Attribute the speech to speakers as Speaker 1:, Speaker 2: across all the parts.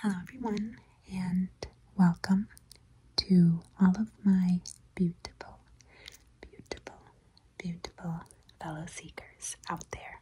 Speaker 1: Hello, everyone, and welcome to all of my beautiful, beautiful, beautiful fellow seekers out there.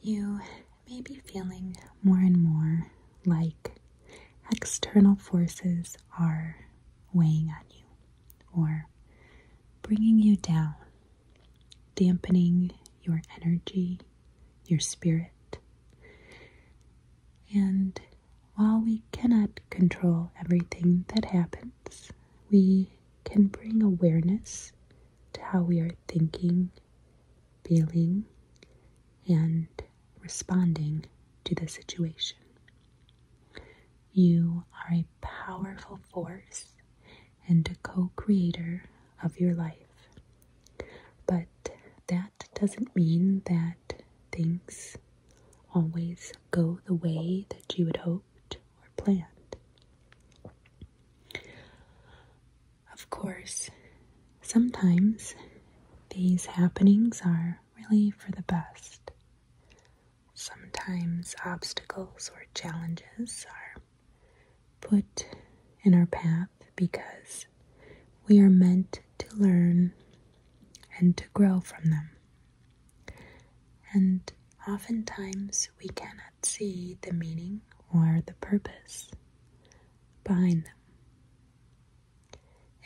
Speaker 1: You may be feeling more and more like external forces are weighing on you or bringing you down, dampening your energy, your spirit. And while we cannot control everything that happens, we can bring awareness to how we are thinking, feeling, and responding to the situation. You are a powerful force and a co creator of your life. But that doesn't mean that things always go the way that you had hoped or planned. Of course, sometimes these happenings are really for the best. Sometimes obstacles or challenges are put in our path because we are meant to learn and to grow from them. And oftentimes we cannot see the meaning or the purpose behind them.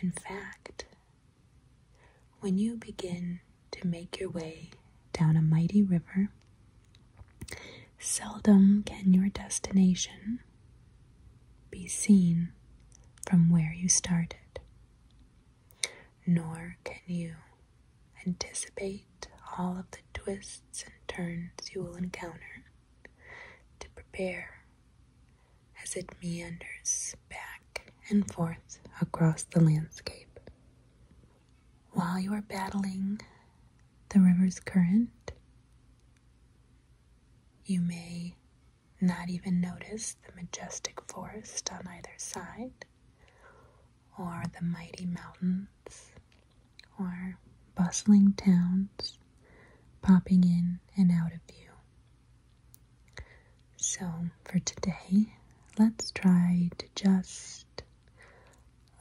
Speaker 1: In fact, when you begin to make your way down a mighty river, seldom can your destination be seen from where you started, nor can you anticipate all of the twists and turns you will encounter to prepare as it meanders back and forth across the landscape. While you are battling the river's current, you may not even notice the majestic forest on either side, or the mighty mountains, or bustling towns popping in and out of view. So, for today, let's try to just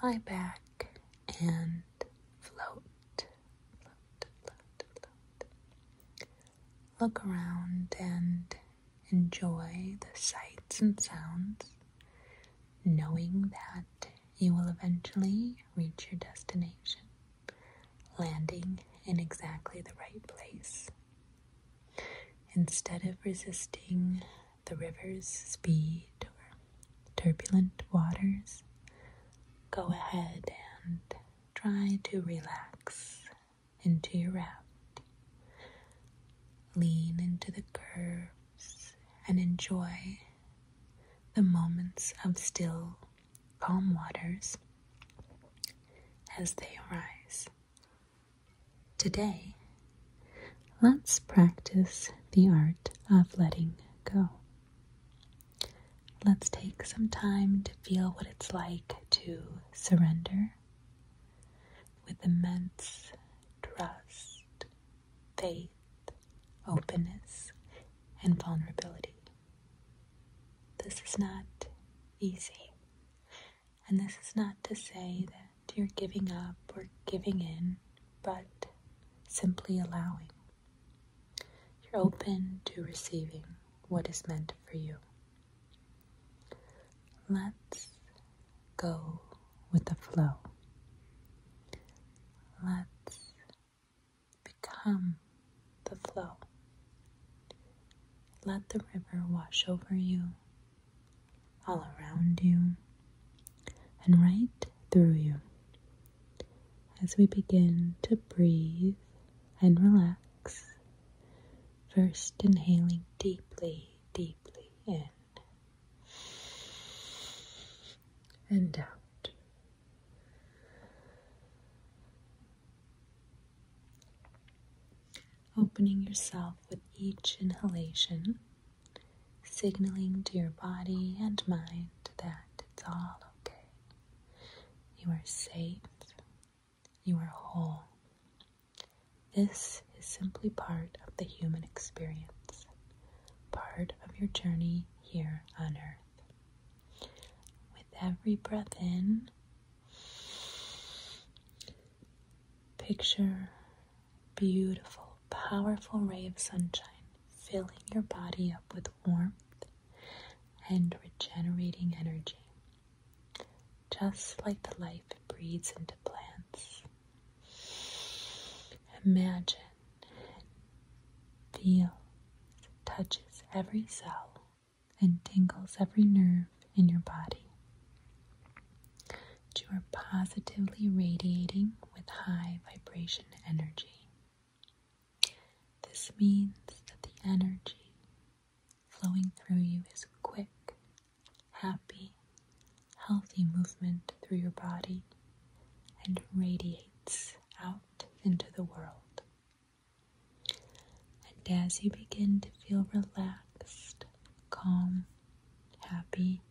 Speaker 1: lie back and float, Look around and enjoy the sights and sounds, knowing that you will eventually reach your destination, landing in exactly the right place. Instead of resisting the river's speed or turbulent waters, go ahead and try to relax into your raft. Lean into the curves and enjoy the moments of still, calm waters as they arise. Today, let's practice the art of letting go. Let's take some time to feel what it's like to surrender with immense trust, faith, openness, and vulnerability. This is not easy. And this is not to say that you're giving up or giving in, but simply allowing. You're open to receiving what is meant for you. Let's go with the flow. Let's become the flow. Let the river wash over you, all around you, and right through you. As we begin to breathe and relax, first inhaling deeply, deeply in and out opening yourself with each inhalation, signaling to your body and mind that it's all okay. You are safe. You are whole. This is simply part of the human experience, part of your journey here on earth. With every breath in, Picture beautiful, powerful ray of sunshine filling your body up with warmth and regenerating energy, just like the life breathes into plants. Imagine, feel, touches every cell and tingles every nerve in your body. You are positively radiating with high vibration energy. This means that the energy flowing through you is quick, happy, healthy movement through your body and radiates out into the world. And as you begin to feel relaxed, calm, happy,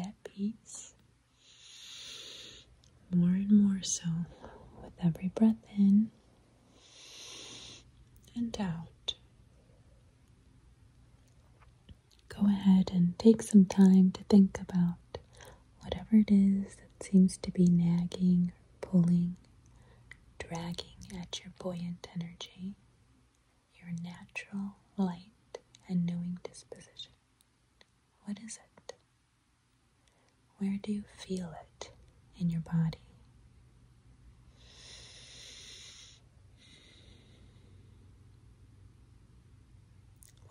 Speaker 1: at peace, more and more so with every breath in and out. Go ahead and take some time to think about whatever it is that seems to be nagging pulling, dragging at your buoyant energy, your natural, light, and knowing disposition. What is it? Where do you feel it in your body?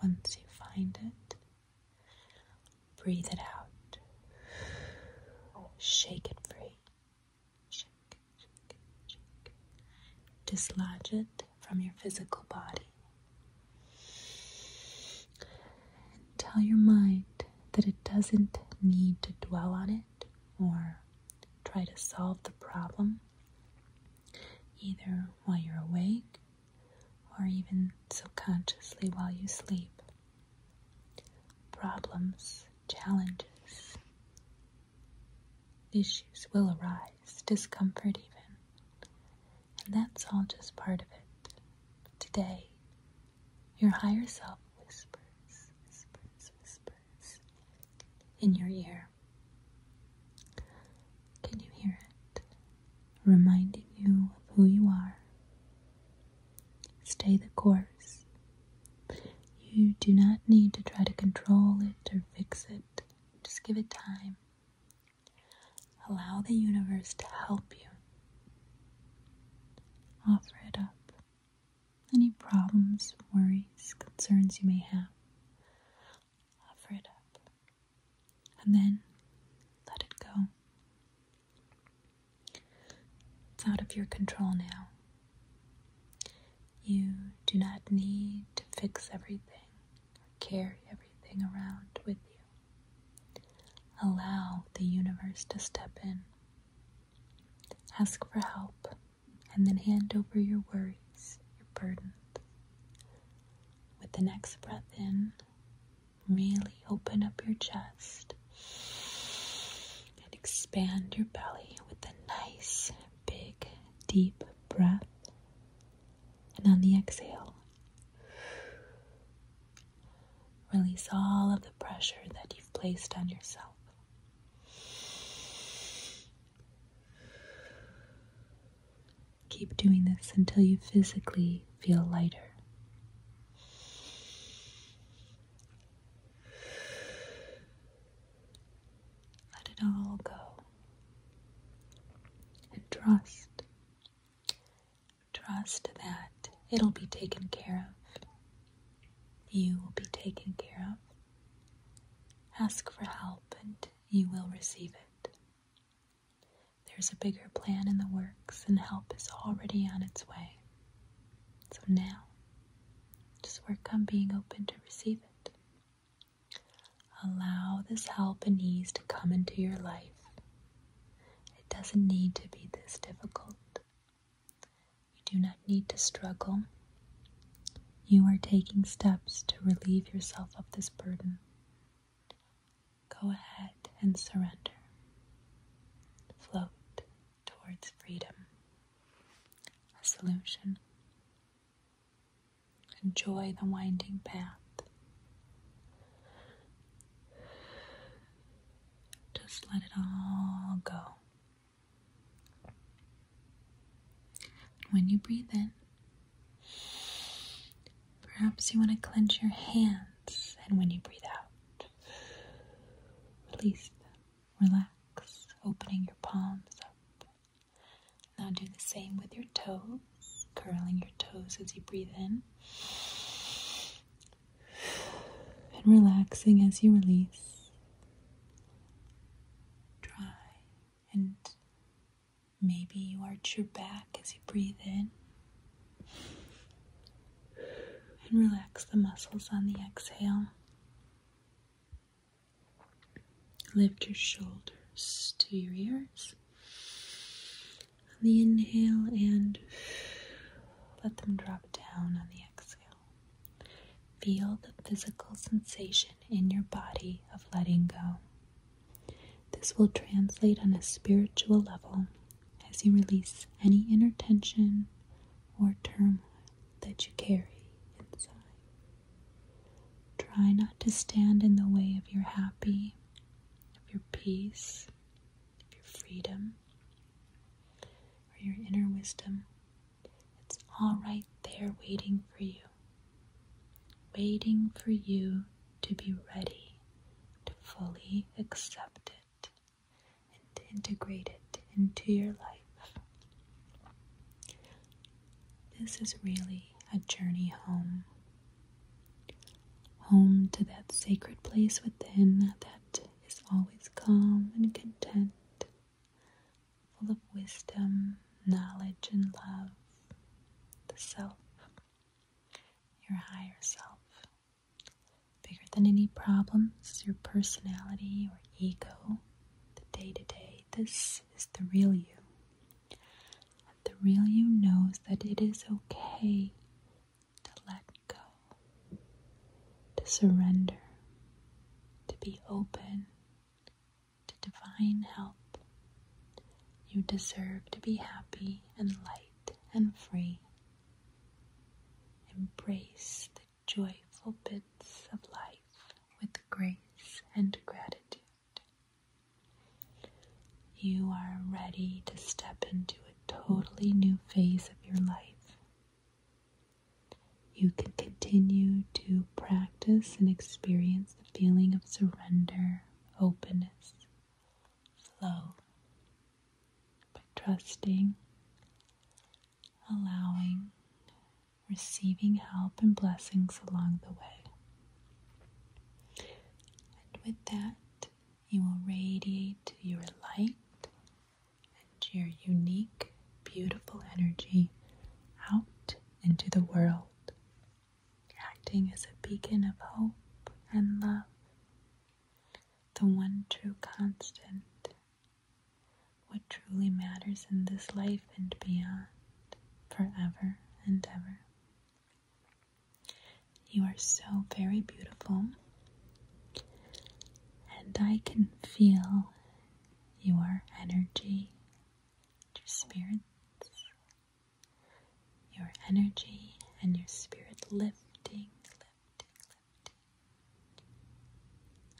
Speaker 1: Once you find it, Breathe it out. Shake it free. Dislodge it from your physical body. And tell your mind that it doesn't need to dwell on it or try to solve the problem either while you're awake or even subconsciously while you sleep. Problems, challenges, issues will arise, discomfort even. And that's all just part of it. Today, your higher self whispers, whispers, whispers in your ear. Can you hear it? Reminding you of who you are, Stay the course. You do not need to try to control it or fix it. Just give it time. Allow the universe to help you. Offer it up. Any problems, worries, concerns you may have, offer it up. And then let it go. It's out of your control now. You do not need to fix everything or carry everything around with you. Allow the universe to step in. Ask for help and then hand over your worries, your burdens. With the next breath in, Really open up your chest and expand your belly with a nice, big, deep breath. And on the exhale, release all of the pressure that you've placed on yourself. Keep doing this until you physically feel lighter. Let it all go and trust. Trust that it'll be taken care of. You will be taken care of. Ask for help and you will receive it. There's a bigger plan in the works, and help is already on its way. So now, just work on being open to receive it. Allow this help and ease to come into your life. It doesn't need to be this difficult. You do not need to struggle. You are taking steps to relieve yourself of this burden go ahead and surrender. Float towards freedom, a solution. Enjoy the winding path. Just let it all go. When you breathe in, perhaps you want to clench your hands, and when you breathe out, Release Relax, opening your palms up. Now do the same with your toes, curling your toes as you breathe in. And relaxing as you release. Try and maybe you arch your back as you breathe in and relax the muscles on the exhale. Lift your shoulders to your ears on the inhale and let them drop down on the exhale. Feel the physical sensation in your body of letting go. This will translate on a spiritual level as you release any inner tension or turmoil that you carry inside. Try not to stand in the way of your happy, of your peace, of your freedom, or your inner wisdom. It's all right there waiting for you, waiting for you to be ready to fully accept it and integrate it into your life. This is really a journey home. Home to that sacred place within that is always calm and content, full of wisdom, knowledge, and love. The self, your higher self. Bigger than any problems is your personality or ego, the day to day. This is the real you. the real you knows that it is okay to let go, to surrender, to be open to divine help. You deserve to be happy and light and free Embrace the joyful bits of life with grace and gratitude. You are ready to step into a totally new phase of your life. You can continue to practice and experience the feeling of surrender, openness, flow by trusting, allowing, receiving help and blessings along the way. And with that, you will radiate your light and your unique, beautiful energy out into the world, acting as a beacon of hope and love the one true constant, what truly matters in this life and beyond, forever and ever. You are so very beautiful, and I can feel your energy, your spirits, your energy and your spirit lifting, lifting, lifting.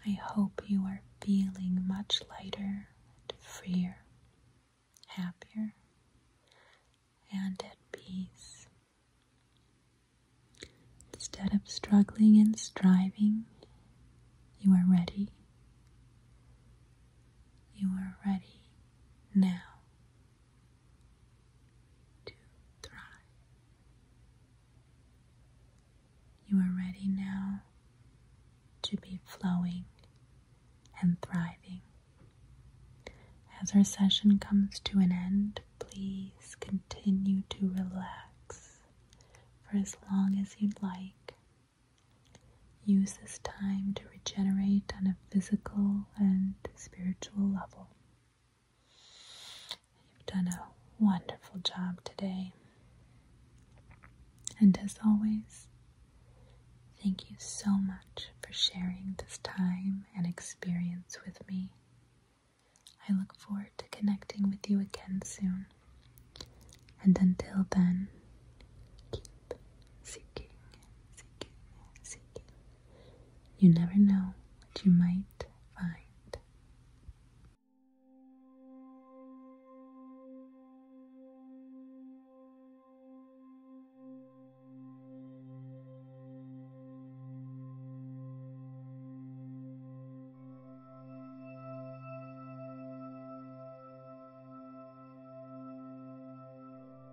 Speaker 1: I hope you are feeling much lighter and freer, happier, and at peace. Instead of struggling and striving, you are ready. You are ready now to thrive. You are ready now to be flowing and thriving. As our session comes to an end, please continue to relax for as long as you'd like. Use this time to regenerate on a physical and spiritual level. You've done a wonderful job today. And as always, thank you so much for sharing this time and experience with me. I look forward to connecting with you again soon. And until then, keep seeking, seeking, seeking. You never know what you might find.